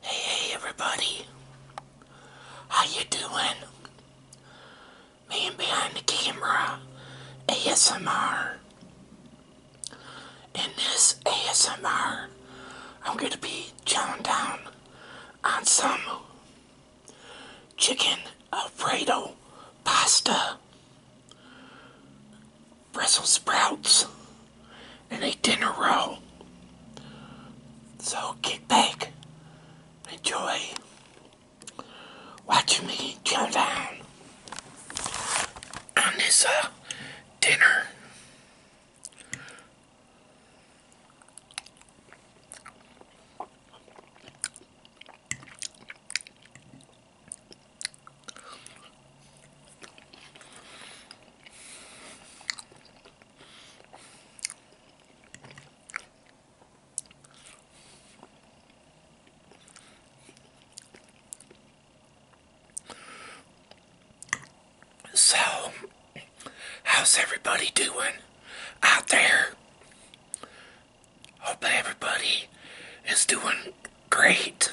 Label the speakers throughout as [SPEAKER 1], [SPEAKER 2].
[SPEAKER 1] Hey, hey everybody. How you doing? Man behind the camera ASMR. In this ASMR, I'm going to be chowing down on some chicken alfredo pasta. Brussels sprouts and a dinner roll. So kick back, enjoy watching me chill down on this uh, dinner. So, how's everybody doing out there? Hope everybody is doing great.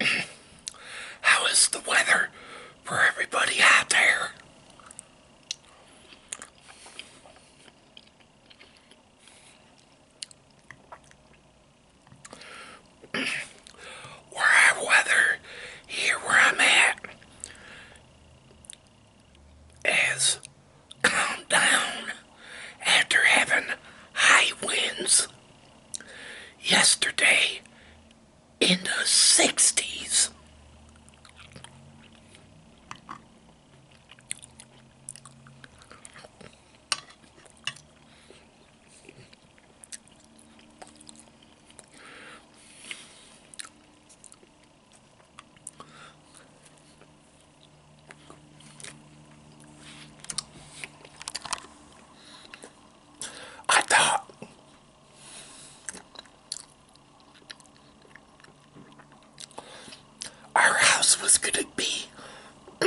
[SPEAKER 1] How is the weather for everybody out there? where our weather here where I'm at as calmed down after having high winds yesterday in the 60s. I thought our house was going to be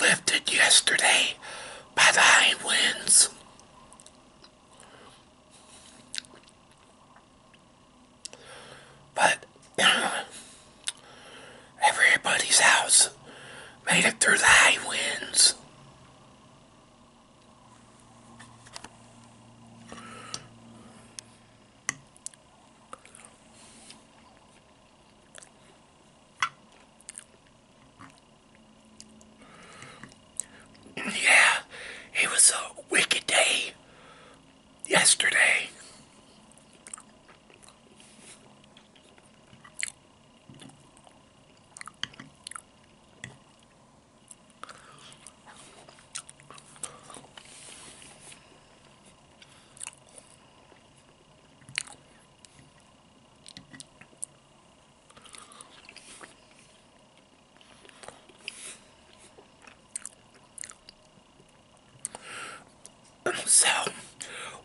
[SPEAKER 1] lifted yesterday by the high winds. But everybody's house made it through the high winds. Yeah, it was a wicked day yesterday. So,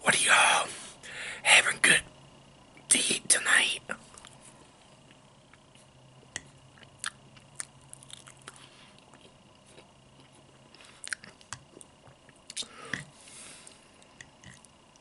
[SPEAKER 1] what are y'all having good to eat tonight?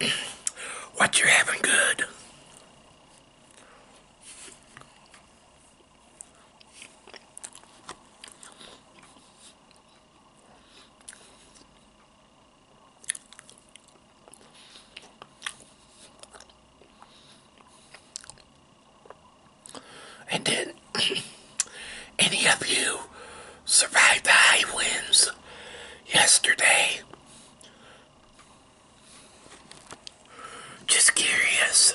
[SPEAKER 1] what you're having good. And then any of you survived the high winds yesterday. Just curious.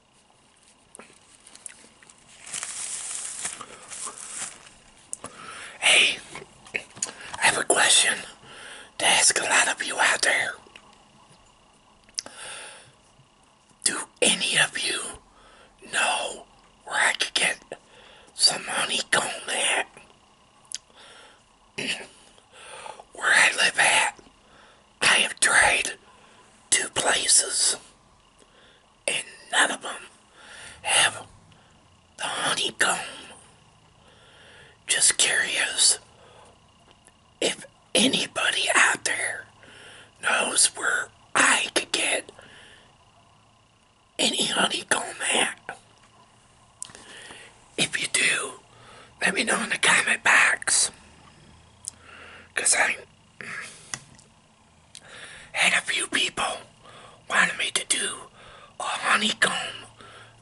[SPEAKER 1] Hey, I have a question to ask a lot of you out there. Do any of you know where I could get some honeycomb at? where I live at, I have tried two places, and none of them have the honeycomb. Just curious if anybody out there knows where I could get any honeycomb at. If you do, let me know in the comment box. Because I had a few people wanted me to do a honeycomb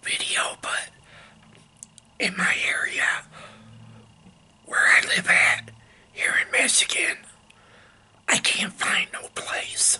[SPEAKER 1] video, but in my area where I live at, here in Michigan, I can't find no place.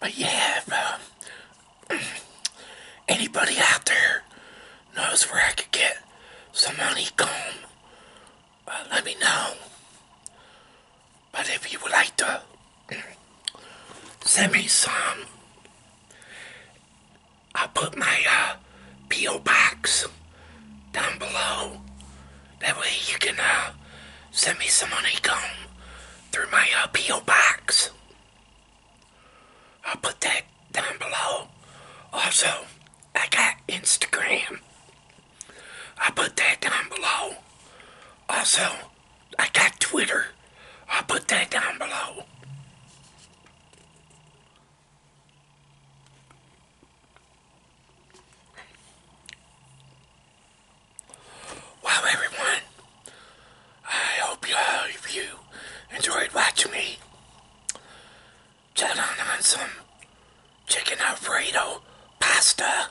[SPEAKER 1] But yeah, um, anybody out there knows where I could get some money? Come, uh, let me know. But if you would like to send me some, I'll put my uh, P.O. box down below. That way you can uh, send me some money come through my uh, P.O. box. I'll put that down below. Also, I got Instagram i put that down below. Also, I got Twitter. i put that down below. Well, everyone, I hope you enjoyed watching me chat on, on chicken alfredo pasta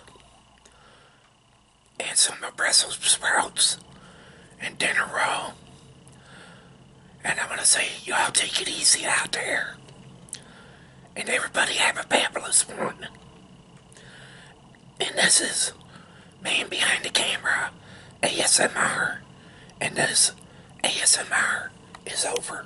[SPEAKER 1] and some Brussels sprouts and dinner roll. And I'm going to say, y'all take it easy out there. And everybody have a fabulous one. And this is Man Behind the Camera ASMR. And this ASMR is over.